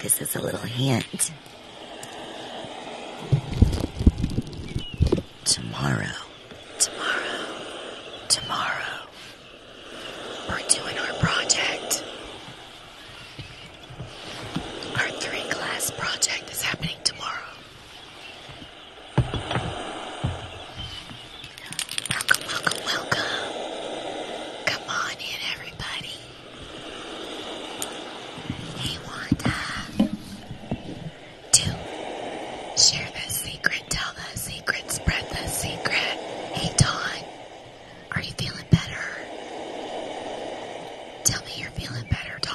This is a little hint. Tomorrow, tomorrow, tomorrow, we're doing our project. Our three class project is happening tomorrow. Welcome, welcome, welcome. Come on in, everybody. Hey, Wanda. Two. Share the secret, tell the secret, spread the secret. Hey, Dawn. Are you feeling better? Tell me you're feeling better, Don.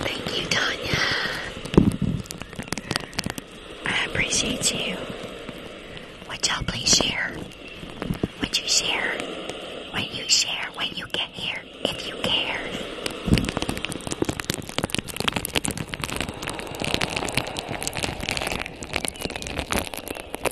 Thank you, Tanya. I appreciate you. Would y'all please share? Would you share? Would you share when you get here, if you care?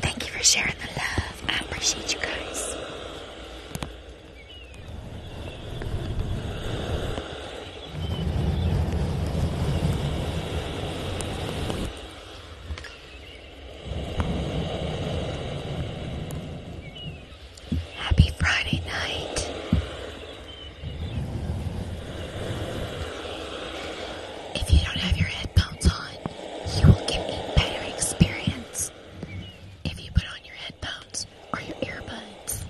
Thank you for sharing the love. I appreciate you guys. Happy Friday night. If you don't have your headphones on, you will get a better experience if you put on your headphones or your earbuds.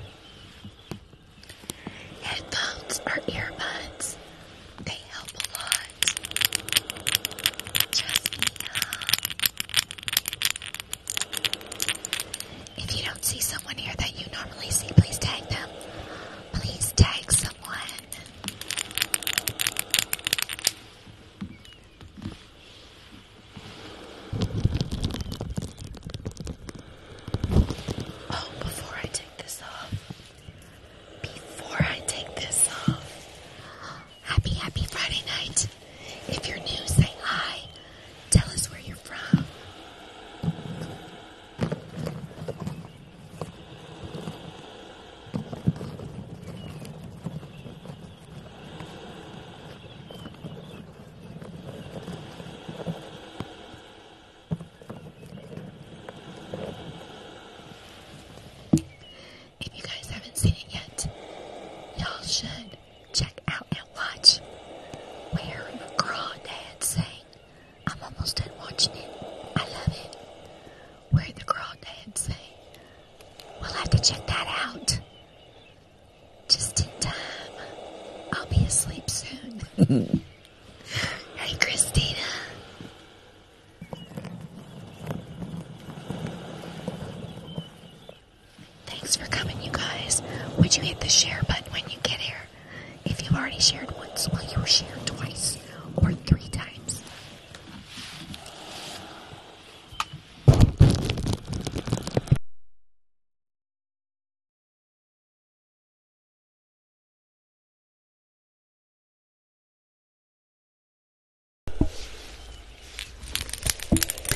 Headphones or earbuds, they help a lot. Trust me, huh? If you don't see someone here that you normally see, please tag them. Please tag someone. Oh, before I take this off, before I take this off, happy, happy Friday night. If you're new, say hi. Tell us where you're from. If you guys haven't seen it yet, y'all should check out watch where the Crawdad sang. I'm almost done watching it. I love it. Where the Crawdad sang. We'll have to check that out. Just in time. I'll be asleep soon. hey, Christina. Thanks for coming, you guys. Would you hit the share button when you get here? if you've already shared once, well, you were shared twice or three times.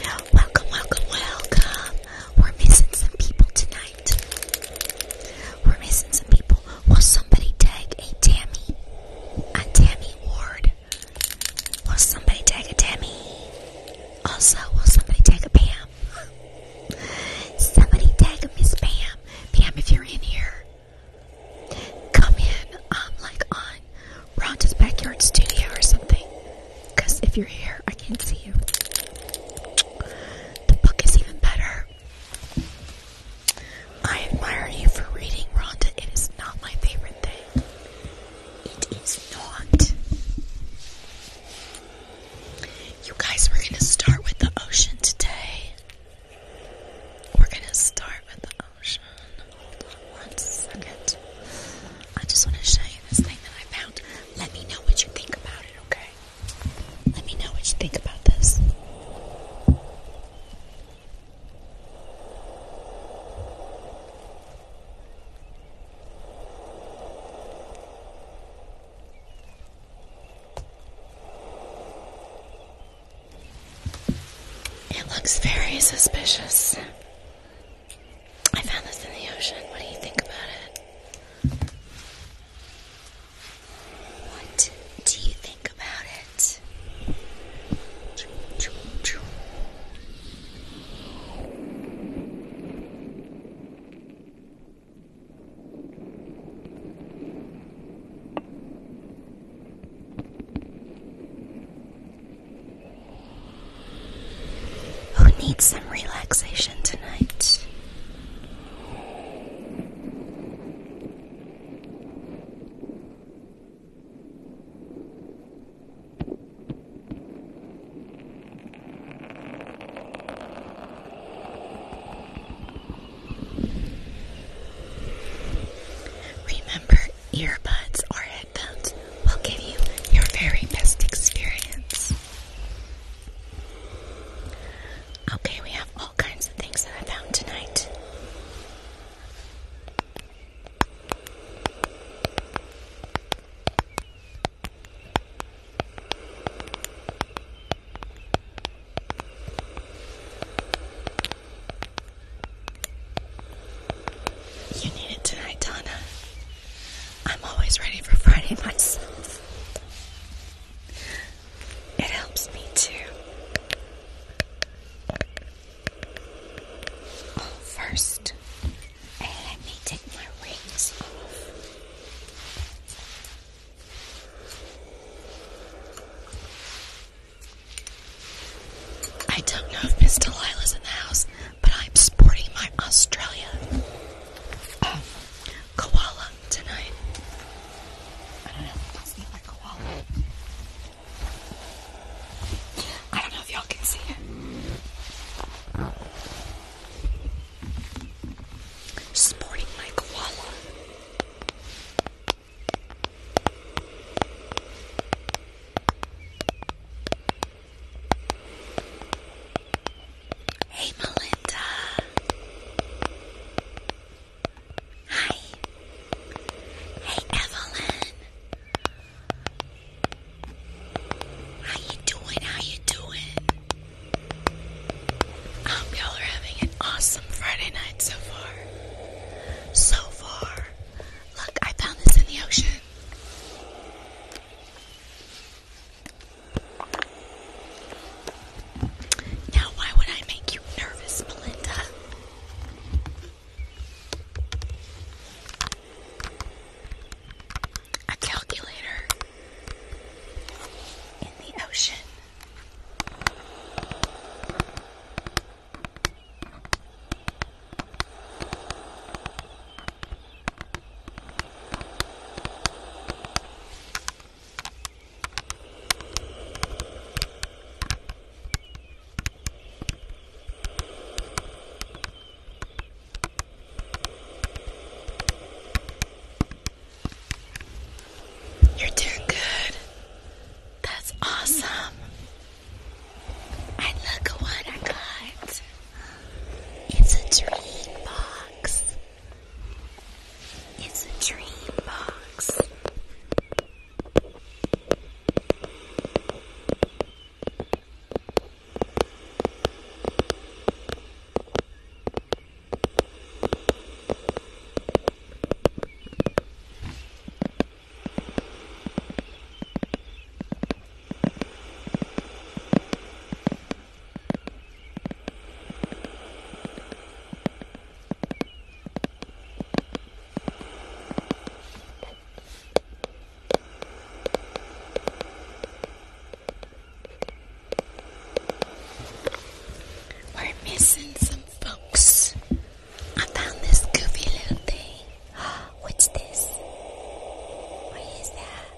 Welcome, welcome, welcome. We're missing some people tonight. We're missing some people. Will somebody tag a Tammy? A Tammy Ward? Will somebody tag a Tammy? Also, will somebody tag a Pam? somebody tag a Miss Pam. Pam, if you're in here, come in, um, like on Rhonda's Backyard Studio or something. Because if you're here, I can't see you. The book is even better. I admire you for reading, Rhonda. It is not my favorite thing. It is not. You guys, we're going to start with the ocean today. We're going to start with the ocean. Hold on one second. I just want to show you this thing that I found. Let me know what you think about it, okay? Let me know what you think about this. It looks very suspicious. I found this in the ocean. What do you think about it? What do you think about it? Who needs some relaxation tonight? Remember, earbuds or headphones will give you your very best experience. Okay, we have all kinds of things that I found tonight. You need it tonight, Donna. I'm always ready for Friday myself. It helps me too. Oh, first, let me take my rings off. I don't know if Miss Delilah's in the house, but I'm sporting my Australia. Um, koala tonight. I don't know. let my koala. I don't know if y'all can see it. Sporting my koala. Hey, Melinda. Hi. Hey, Evelyn. How you doing? How you doing? I hope y'all are having an awesome Friday night so far. So far. Look, I found this in the ocean. Now, why would I make you nervous, Melinda? A calculator in the ocean. You're doing good. That's awesome. look what I got. It's a dream box. It's a dream box. We're missing some folks. I found this goofy little thing. What's this? What is that?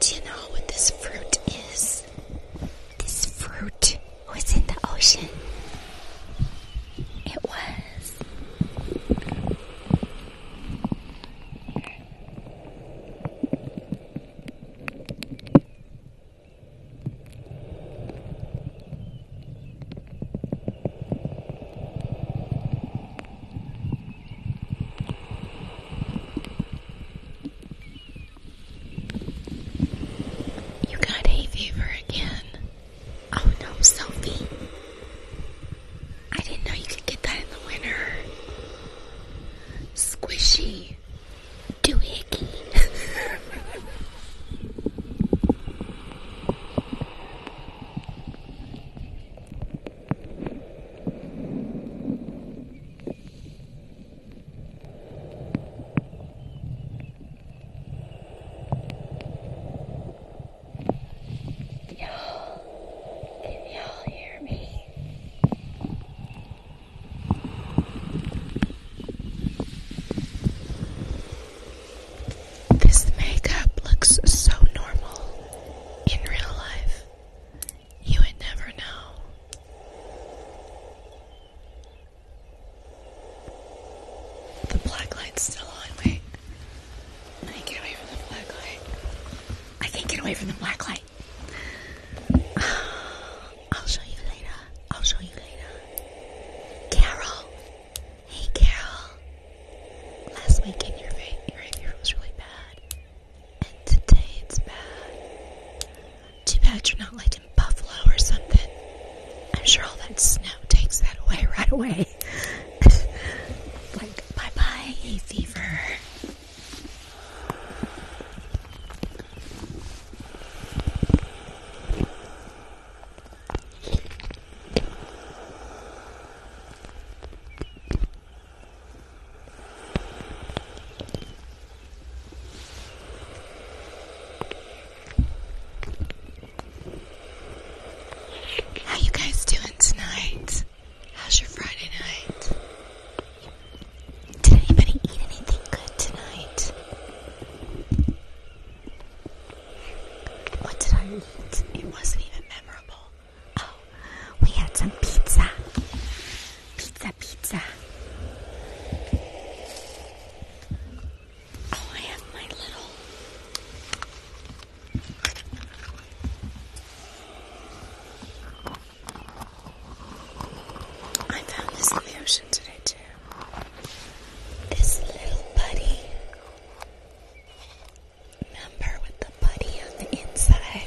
Do you know what this fruit is? This fruit was in the ocean. It was. You got hay fever again. Oh no, Sophie. I didn't know you could get that in the winter. Squishy. Doohickey. This makeup looks so normal in real life. You would never know. The black light's still on. Wait. I can't get away from the black light. I can't get away from the black light. I'll show you later. I'll show you later. Carol. Hey, Carol. Last weekend, your, your behavior was really bad and today Too bad you're not like in Buffalo or something. I'm sure all that snow takes that away right away. like, bye bye, fever. How you guys doing tonight? How's your Friday night? Did anybody eat anything good tonight? What did I eat? It wasn't even memorable. Oh, we had some pizza. Pizza, pizza. Oh, I have my little. I found this in the ocean today, too. This little buddy. Remember with the buddy on the inside?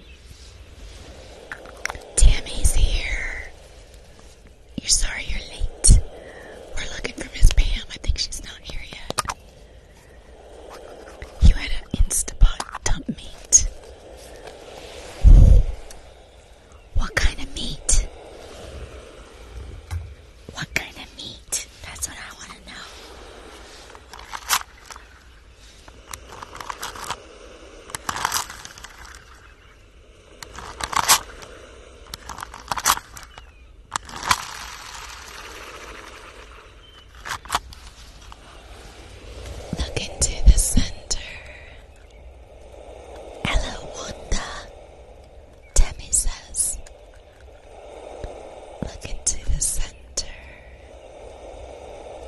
Tammy's here. You're sorry you're late. We're looking for Miss Pam. I think she's not here yet. You had an Instapot dump meat. What kind of meat? What kind of meat? That's what I want to know. Look into the center. Hello, Wanda. Tammy says. Look into the center.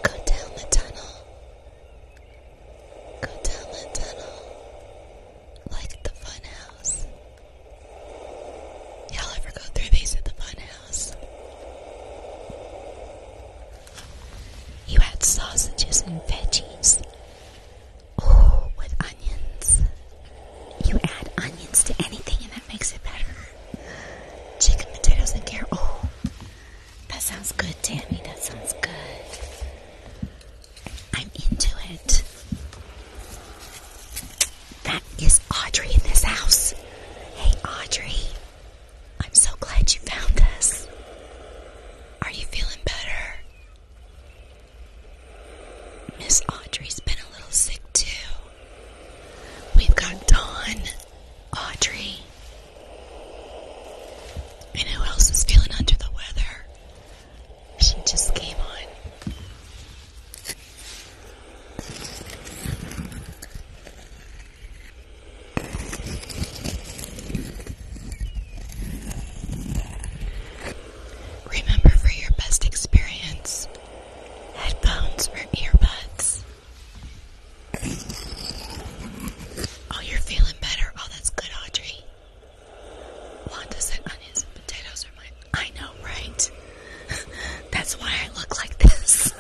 Go down the tunnel Go down the tunnel like the fun Y'all ever go through these at the fun You had sausages and veggies. Oh, with onions. You add onions to anything and that makes it better. Chicken, potatoes, and carrot. That sounds good, Tammy. That sounds good. I'm into it. That is Audrey in this house. Hey, Audrey. I'm so glad you found us. Are you feeling better? Miss Audrey's been a little sick too. We've got Dawn, Audrey, and who else is feeling under the weather? She just came on. Remember for your best experience, headphones or earbuds. Oh, you're feeling better. Oh, that's good, Audrey. Wanda said onions and potatoes are mine. I know, right? that's why I look like this.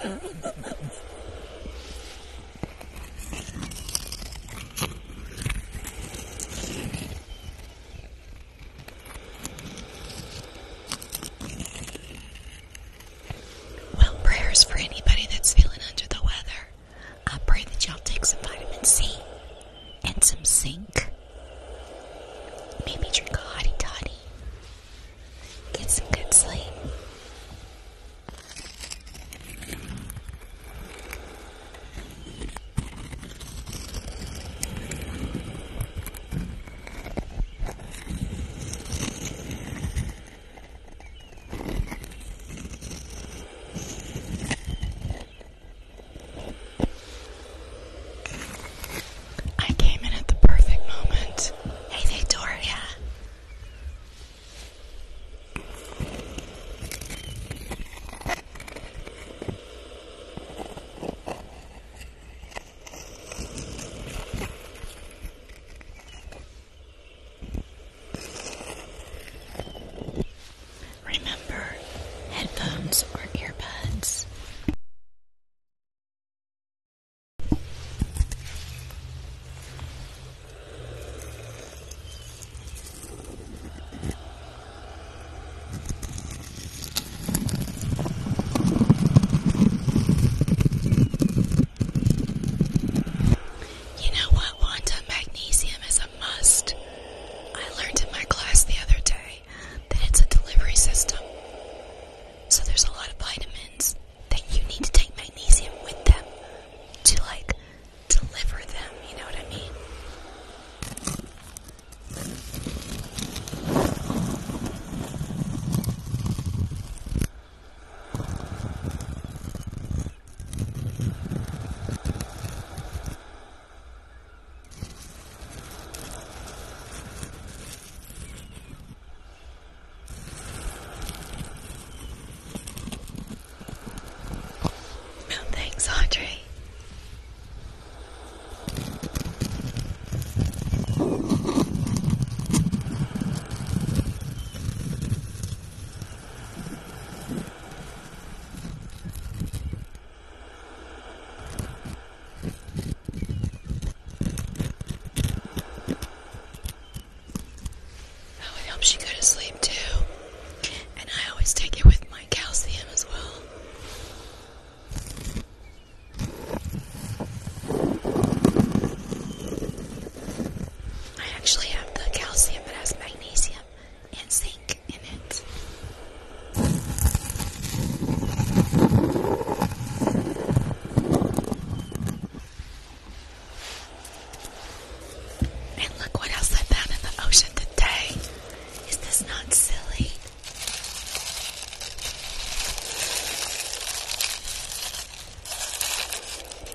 Well, prayers for anybody that's feeling under the weather. I pray that y'all take some vitamin C and some zinc. Maybe drink a hottie toddy. Get some good sleep. I came in at the perfect moment. Hey, Victoria. Remember, headphones or earbuds. You know what, Wanda? Magnesium is a must. I learned in my class the other day that it's a delivery system. So there's a lot of vitamins that you need to take magnesium with them to, like, deliver them. You know what I mean? Oh, thanks, Audrey. Oh, it helps you go to sleep too. And I always take it with my calcium as well. I actually have the calcium that has magnesium and zinc in it. And look what else I found in the ocean today. Is this not silly?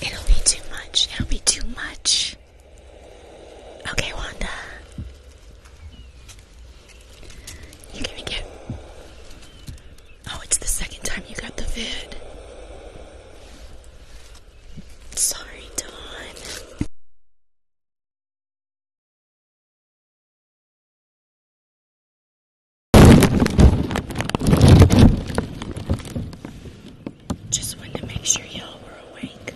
It'll be too much. It'll be too much. Okay, Wanda. You're gonna Oh, it's the second time you got the vid. Sorry, Dawn. Just wanted to make sure y'all were awake.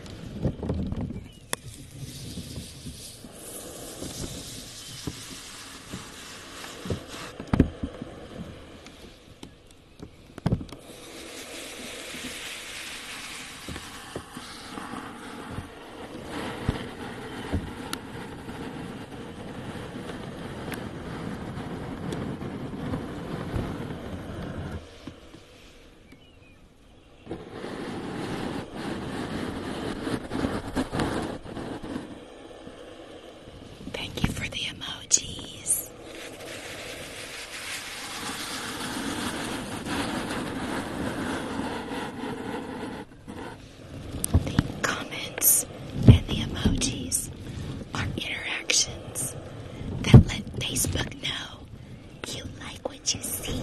Thank you for the emojis. The comments and the emojis our interactions that let Facebook know you like what you see.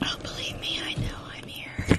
Oh, believe me, I know I'm here.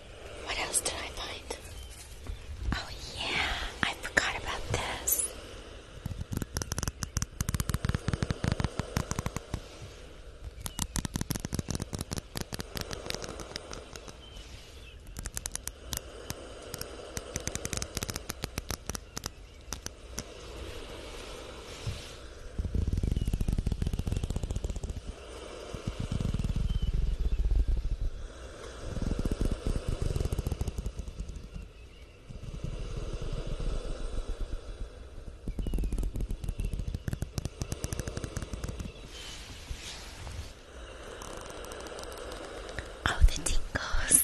What else did I find? Oh, yeah, I forgot about this. Oh, the tingles.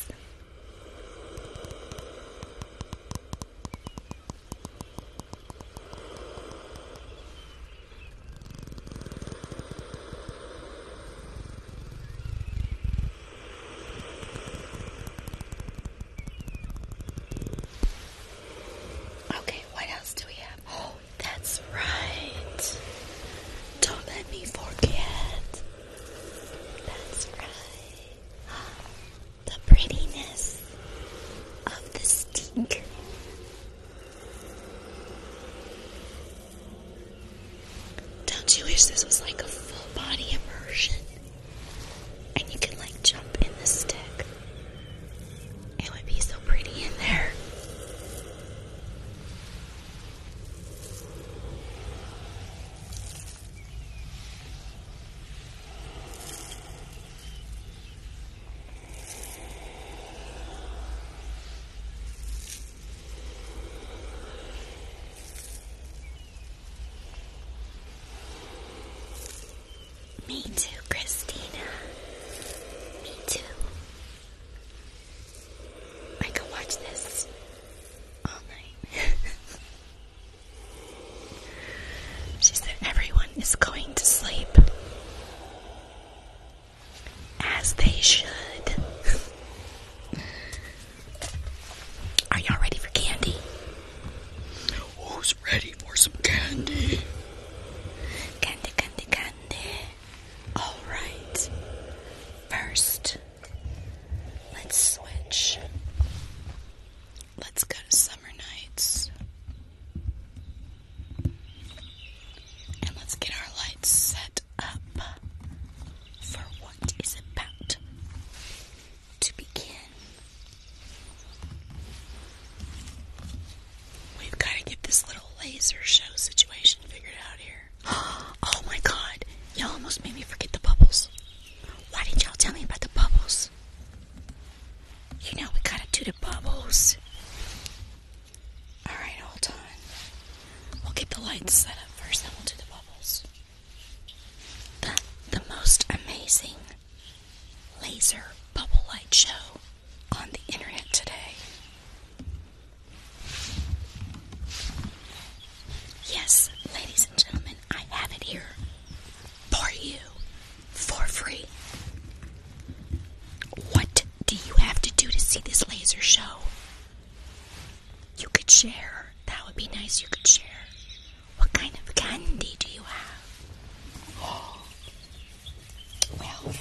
Okay, what else do we have? Oh, that's right. Don't let me forget. That's right. The prettiness of the stink. Don't you wish this was like a full body immersion? And you could like jump in the stick. It would be so pretty in there. Me too, Christina. Me too. I can watch this all night. she said everyone is going to sleep as they should. Are y'all ready for candy? Who's ready for some candy? Candy, candy, candy. All right. First, let's switch. Let's go to summer nights. And let's get our lights set up for what is about to begin. We've got to get this little laser show situation figured out here. Oh my god, y'all almost made me forget the bubbles. Why didn't y'all tell me about the bubbles? You know, we gotta do the bubbles. Alright, hold on. We'll get the lights set up first, then we'll do the bubbles. The, the most amazing laser bubble light show on the internet today. Yes, ladies and gentlemen, I have it here for you for free. What do you have to do to see this laser show? You could share. That would be nice. You could share. What kind of candy do you have? Well,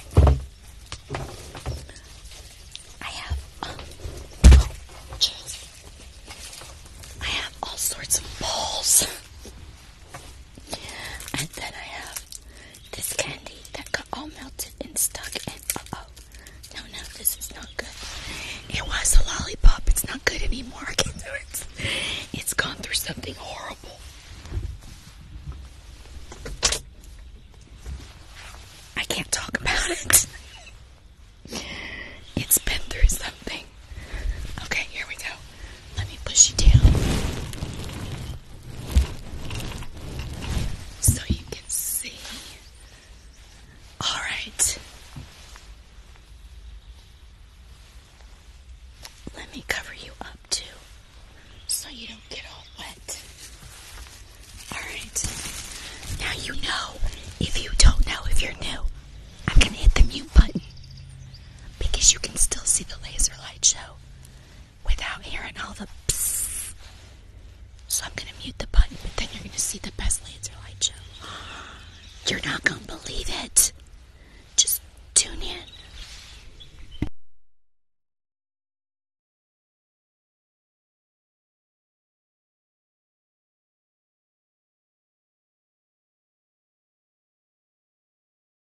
I have. Um, I have all sorts of balls. And then I have this candy that got all melted and stuck and oh No, no, this is not good. It was a lollipop. It's not good anymore. I can do it. It's gone through something horrible. I can't talk about it. It's been through something. Okay, here we go. Let me push you down so you can see. All right. Let me cover you up too so you don't get all wet. All right. Now you know. If you don't know if you're new, I'm going to hit the mute button because you can still see the laser light show without hearing all the psst. So I'm going to mute the button, but then you're going to see the best laser light show. You're not going to believe it. Just tune in.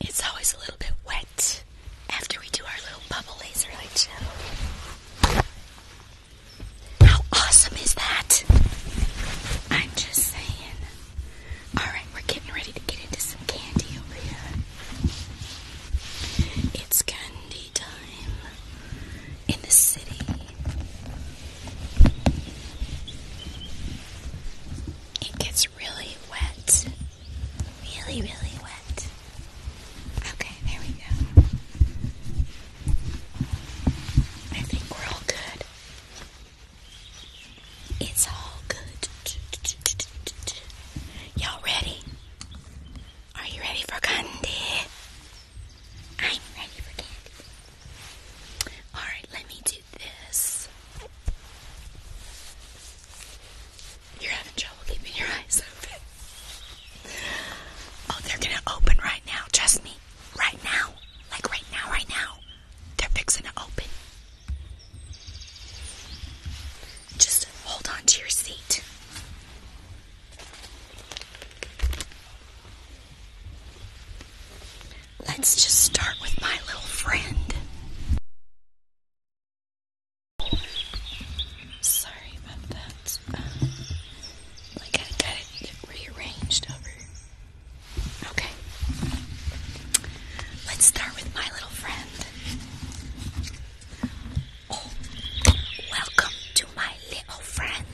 It's always a little bit wet after we do our little bubble laser light show. How awesome is that? I'm just saying. Alright, we're getting ready to get into some candy over here. It's going windy time in the city. It gets really wet. Really, really wet. Okay, there we go. I think we're all good. It's all good. Y'all ready? Are you ready for candy? I'm ready for candy. Alright, let me do this. You're having trouble keeping your eyes open. Oh, they're gonna open right now. Trust me. Right now. Like right now, right now. They're fixing to open. Just hold on to your seat. Let's just start with my little friend. Sorry about that. Um, get rearranged over. Okay. Let's start with my little friend. Oh, welcome to my little friend.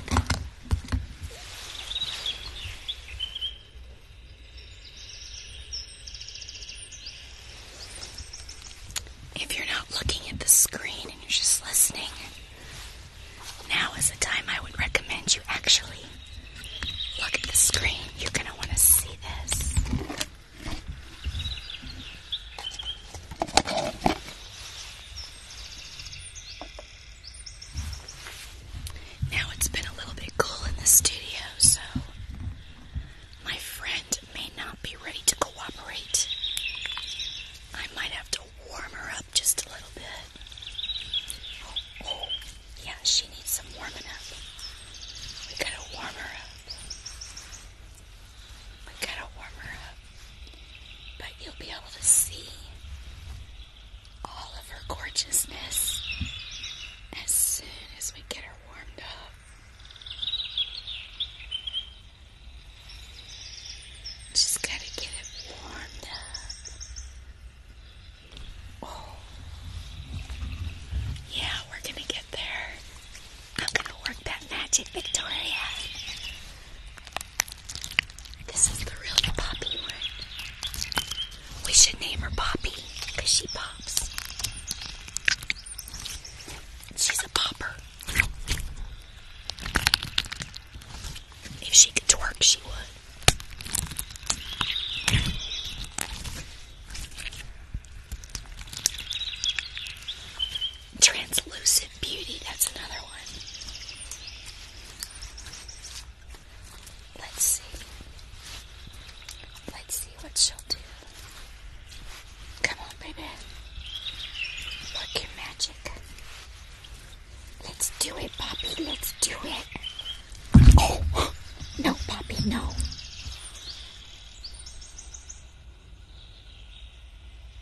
If you're not looking at the screen and you're just listening, now is the time I would recommend you actually look at the screen. You're going to want to see this. Now it's been a little bit cool in the studio, so my friend may not be ready to cooperate. I might have to warm her up just a little bit. Oh, yeah, she needs some warming up. We gotta warm her up. We gotta warm her up, but you'll be able to see all of her gorgeousness as soon as we get her warmed up. Just gotta get it warmed up. Oh, yeah, we're gonna get there. I'm gonna work that magic, Victoria. This is the real Poppy We should name her Poppy because she pops. She's a popper. If she could twerk, she would. Translucent Beauty, that's another one. Let's see. Let's see what she'll do. Come on, baby. Work your magic. Let's do it, Poppy. Let's do it. Oh, no, Poppy, no.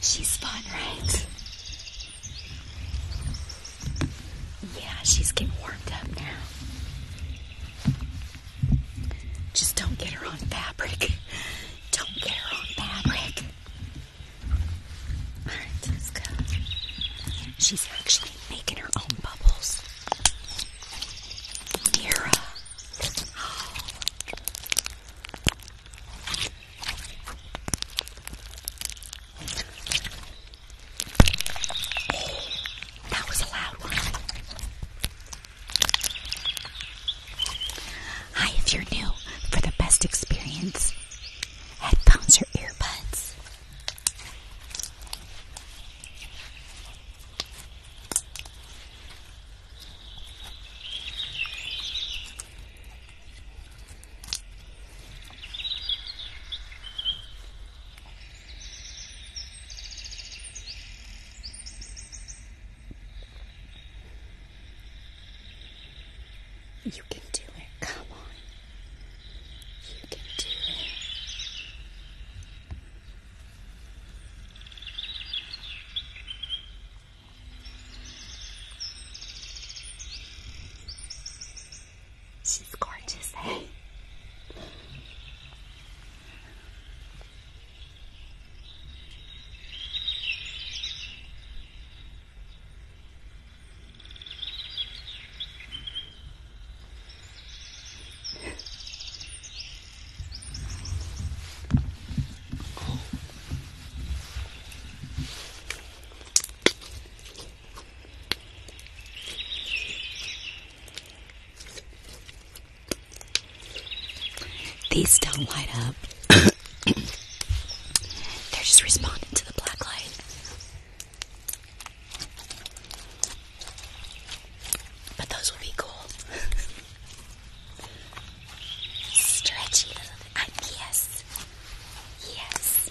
she's fun, right? Yeah, she's getting warmed up now. Just don't get her on fabric. Don't get her on fabric. Alright, let's go. She's actually making her own bubbles. Mira. Oh. that was a loud one. Hi, if you're new, for the best experience, headphones or earbuds. You can do it. Come on. You can do it. She's gorgeous, hey? These don't light up. They're just responding to the black light. But those would be cool. Stretchy little I, ah, yes. Yes.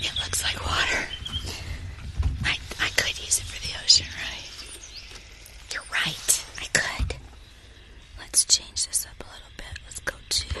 It looks like water. I, I could use it for the ocean, right? You're right. I could. Let's change this up a little bit. Let's go to.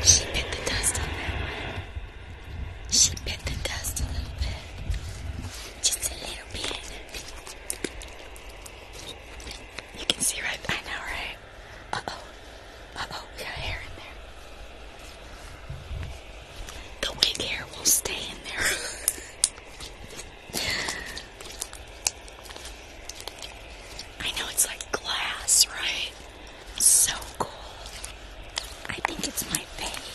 She bit the dust on that one. She bit the dust a little bit. Just a little bit. You can see right I know, right? Uh oh. Uh oh, we got hair in there. The wig hair will stay in there. I know it's like glass, right? So cool. I think it's my fave.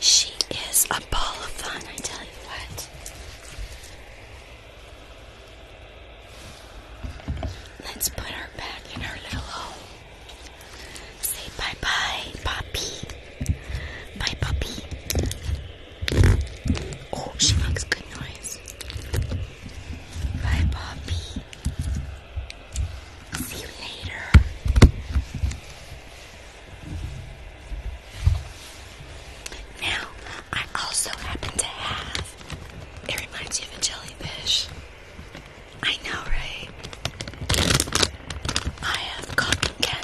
She is a ball of fun, I tell you what. Let's put her back in her little home. Say bye bye, puppy. Bye, puppy. Oh, she makes good noise. Bye, puppy. See you later. Now, I also happen to have. It reminds you of a jellyfish. I know, right? I have cotton candy.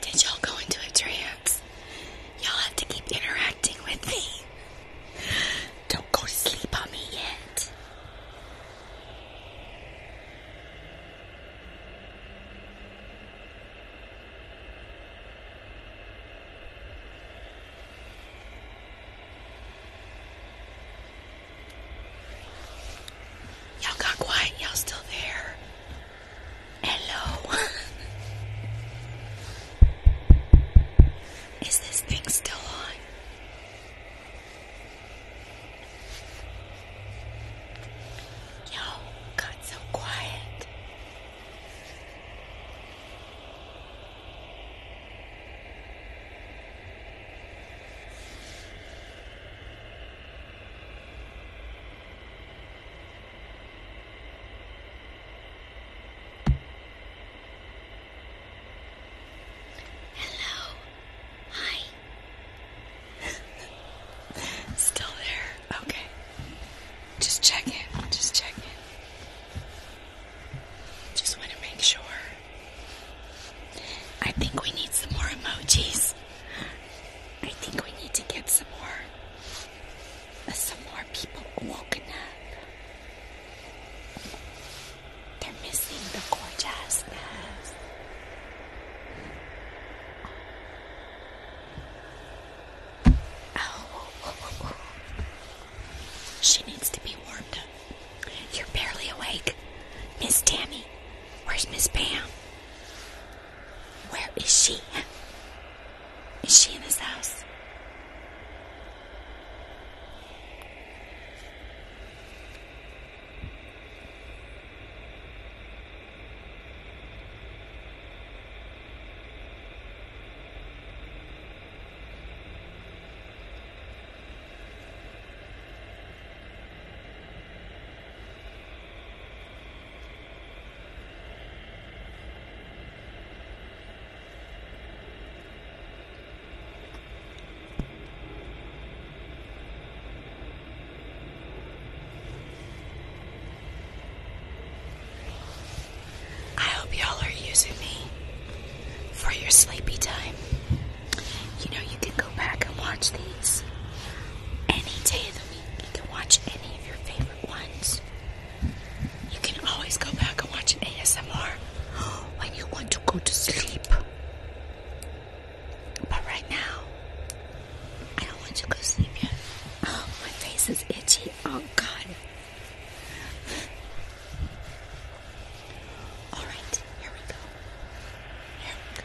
Did y'all go into a trance? Y'all have to keep interacting with me. Don't go to sleep on me yet. Y'all got quiet, y'all still there. Hello. Is this thing still on? Yo, got so quiet. Hello. Hi. Still there? Okay. Just check in. Just check in. Just want to make sure. I think we need some more emojis. I think we need to get some more some more people woken up. They're missing the gorgeousness. Oh, she needs to be warmed up. You're barely awake, Miss Tammy. Where's Miss Pam? Where is she? Is she in this house? I hope y'all are using me for your sleepy time. You know, you can go back and watch these any day of the week. You can watch any of your favorite favorite You can always go back and watch ASMR when you want to go to sleep. But right now, I don't want to go sleep yet. Oh, my face is itchy. Oh, God. All right, here we go. Here we go. Here we go.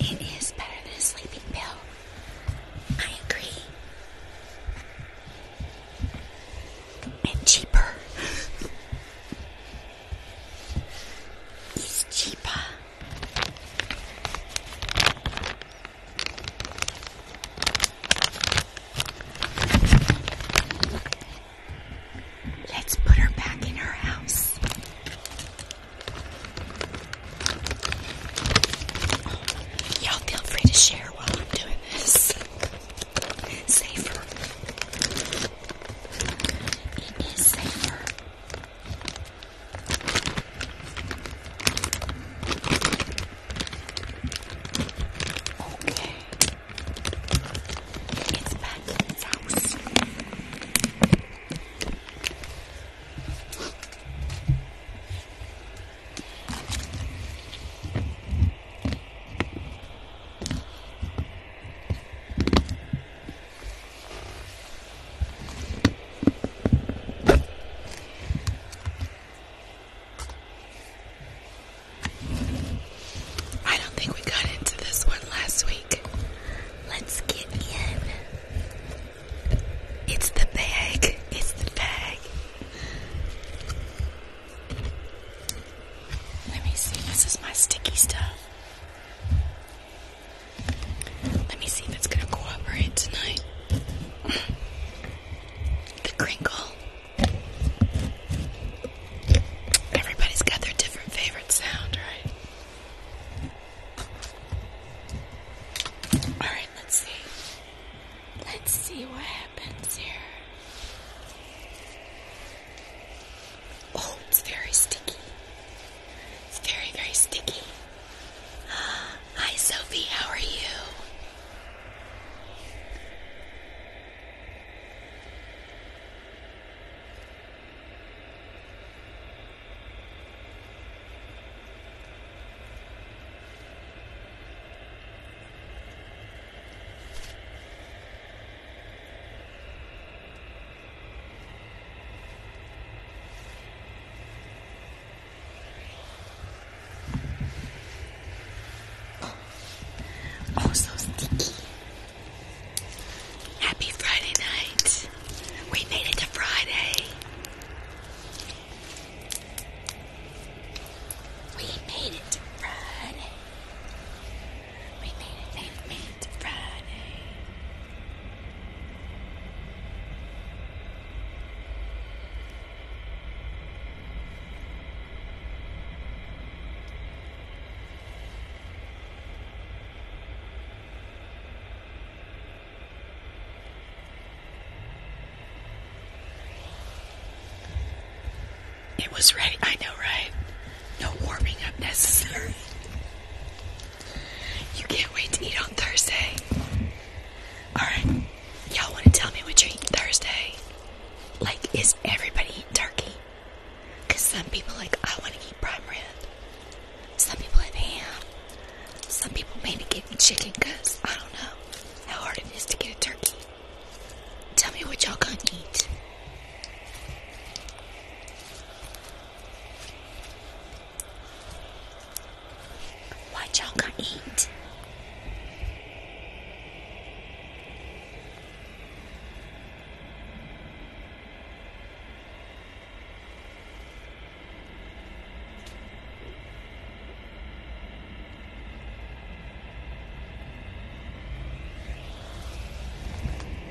it is better than a sleeping pill. I agree. And cheaper. it's cheaper. Let's put her back in her house. Y'all feel free to share while I'm doing this. Safer. It is safer. Okay. It's back in its house. I don't think we got into this one last week. Let's get in. It's the bag. It's the bag. Let me see. This is my sticky stuff. Let me see if it's going to cooperate tonight. The crinkle. Everybody's got their different favorite sound, right? Alright, let's see. Let's see what happens here. Oh, it's very sticky. It's very, very sticky. Hi, Sophie, how are you? Oh, so sticky. Happy Friday night. We made it to Friday. We made it to Friday. We made it, made made it to Friday. It was ready. I know, right? No warming up necessary. You can't wait to eat on Thursday. Alright. Y'all wanna tell me what you eat Thursday? Like, is everybody eating turkey? Cause some people like I wanna eat prime rib. Some people have ham. Some people maybe get me chicken cause I don't know how hard it is to get a turkey. Tell me what y'all gonna eat. What y'all gonna eat?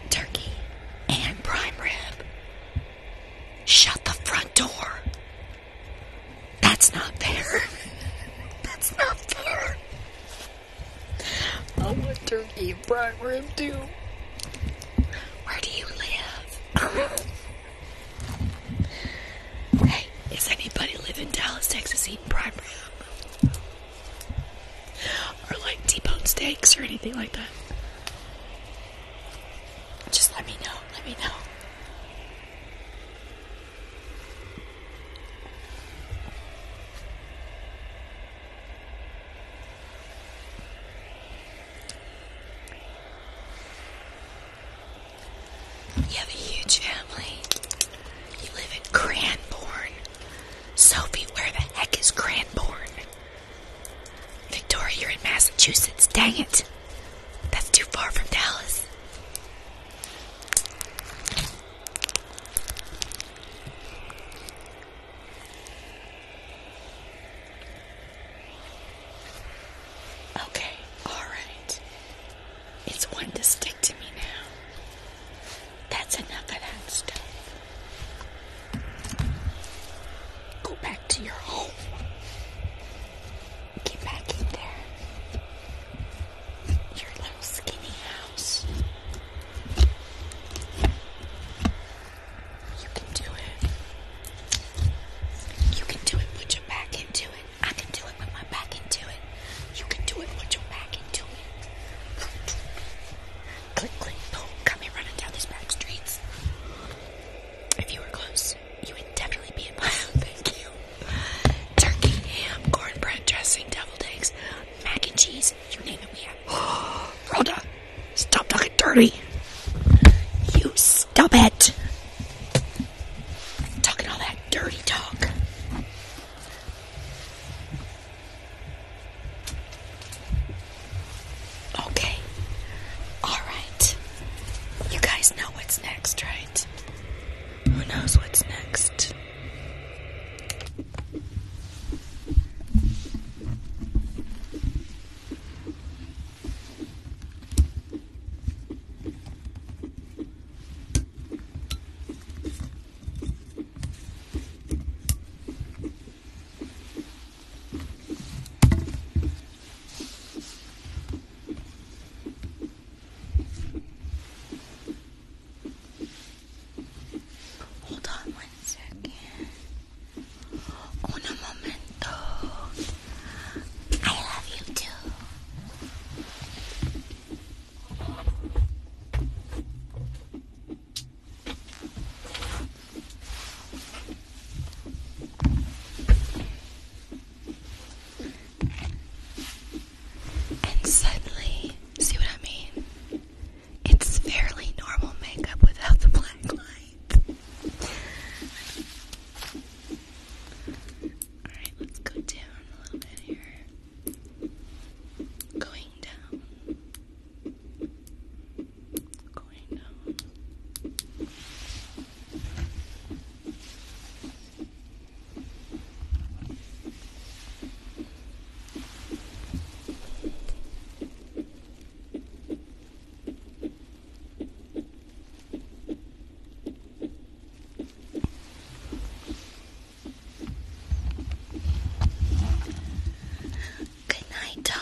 Turkey and prime rib. Shut the front door. That's not there. That's not fair. I want turkey and prime rib too. Where do you live? hey, is anybody live in Dallas, Texas eat prime rib? Or like T-bone steaks or anything like that? Just let me know. Let me know. You have a huge family. You live in Cranbourne. Sophie, where the heck is Cranbourne? Victoria, you're in Massachusetts. Dang it. That's too far from Dallas. Okay, alright. It's one to stick to me now. That's enough of that stuff. Go back to your home. Get back in there. Your little skinny house. You can do it. You can do it. Put your back into it. I can do it. Put my back into it. You can do it. Put your back into it. Click, click, boom. Come here running down these back streets. If you were close you would definitely be in my house. Thank you. Turkey, ham, cornbread dressing, deviled eggs, mac and cheese. You name it, we have. Rhoda, stop talking dirty. You stop it. Talking all that dirty talk. Okay. All right. You guys know what's next. Who knows what's next? Hold on one second. Un momento. I love you too. And suddenly, see what I mean? It's fairly normal makeup without the black light. Alright, let's go down a little bit here. Going down. Going down. Good night, Dawn.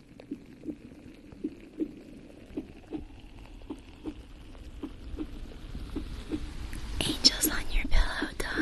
Angels on your pillow, Dawn.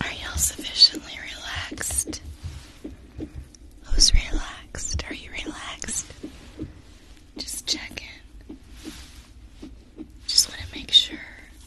Are y'all sufficiently relaxed? Who's relaxed? Are you relaxed? Just check in. Just want to make sure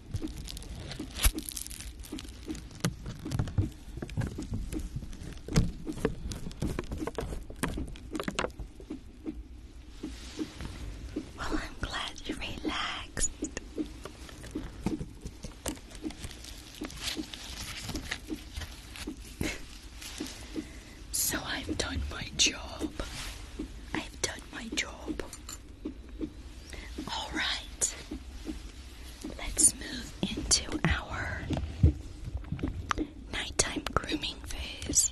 Well, I'm glad you relaxed. so I've done my job. I've done my job. All right, let's move into our nighttime grooming phase.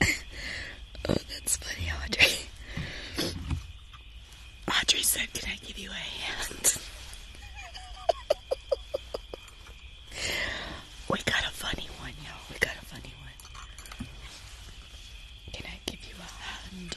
oh, that's funny, Audrey. Audrey said, Can I give you a hand? we got a funny one, y'all. We got a funny one. Can I give you a hand?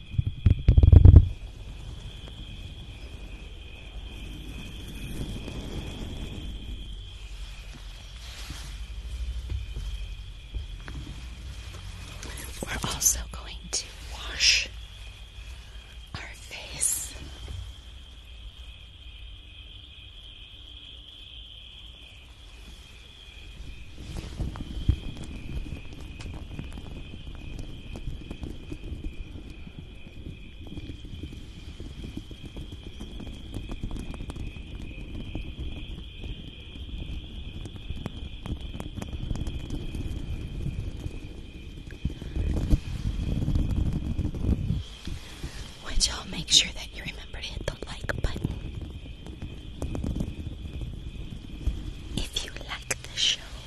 We're also going to wash our face. Would y'all make sure that you remember to hit the like button? If you like the show,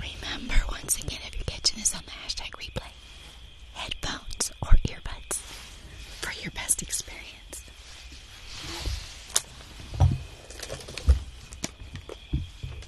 Remember once again if you're catching this on the hashtag replay, headphones or earbuds for your best experience.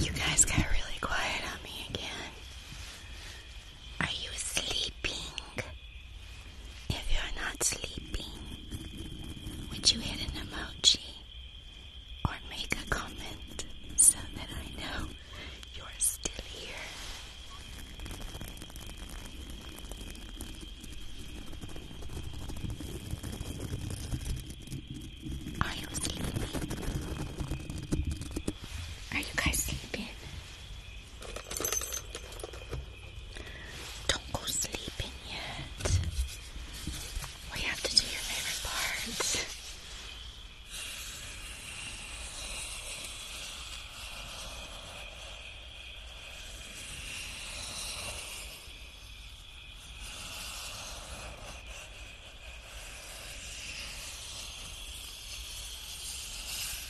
You guys got really quiet on me again. Are you sleeping? If you're not sleeping, would you hit an emoji or make a comment so that I know you're still here? Are you sleeping? Are you guys sleeping? Don't go sleeping yet. We have to do your favorite part.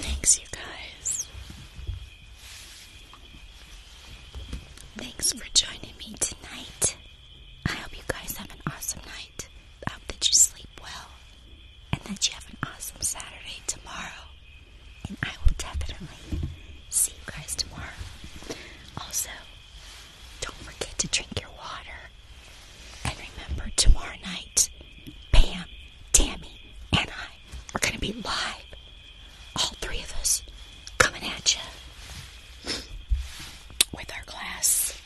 Thanks, you guys. Thanks for joining me tonight. I hope you guys have an awesome night. I hope that you sleep well and that you have an awesome Saturday tomorrow. And I will definitely see you guys tomorrow. Also, don't forget to drink your water. And remember, tomorrow night, Pam, Tammy, and I are going to be live. All three of us coming at you with our class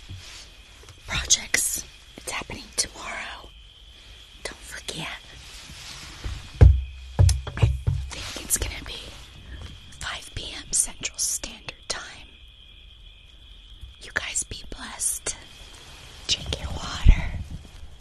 projects. It's happening tomorrow. Don't forget. it's going to be 5 p.m. Central Standard Time. You guys be blessed. Drink your water.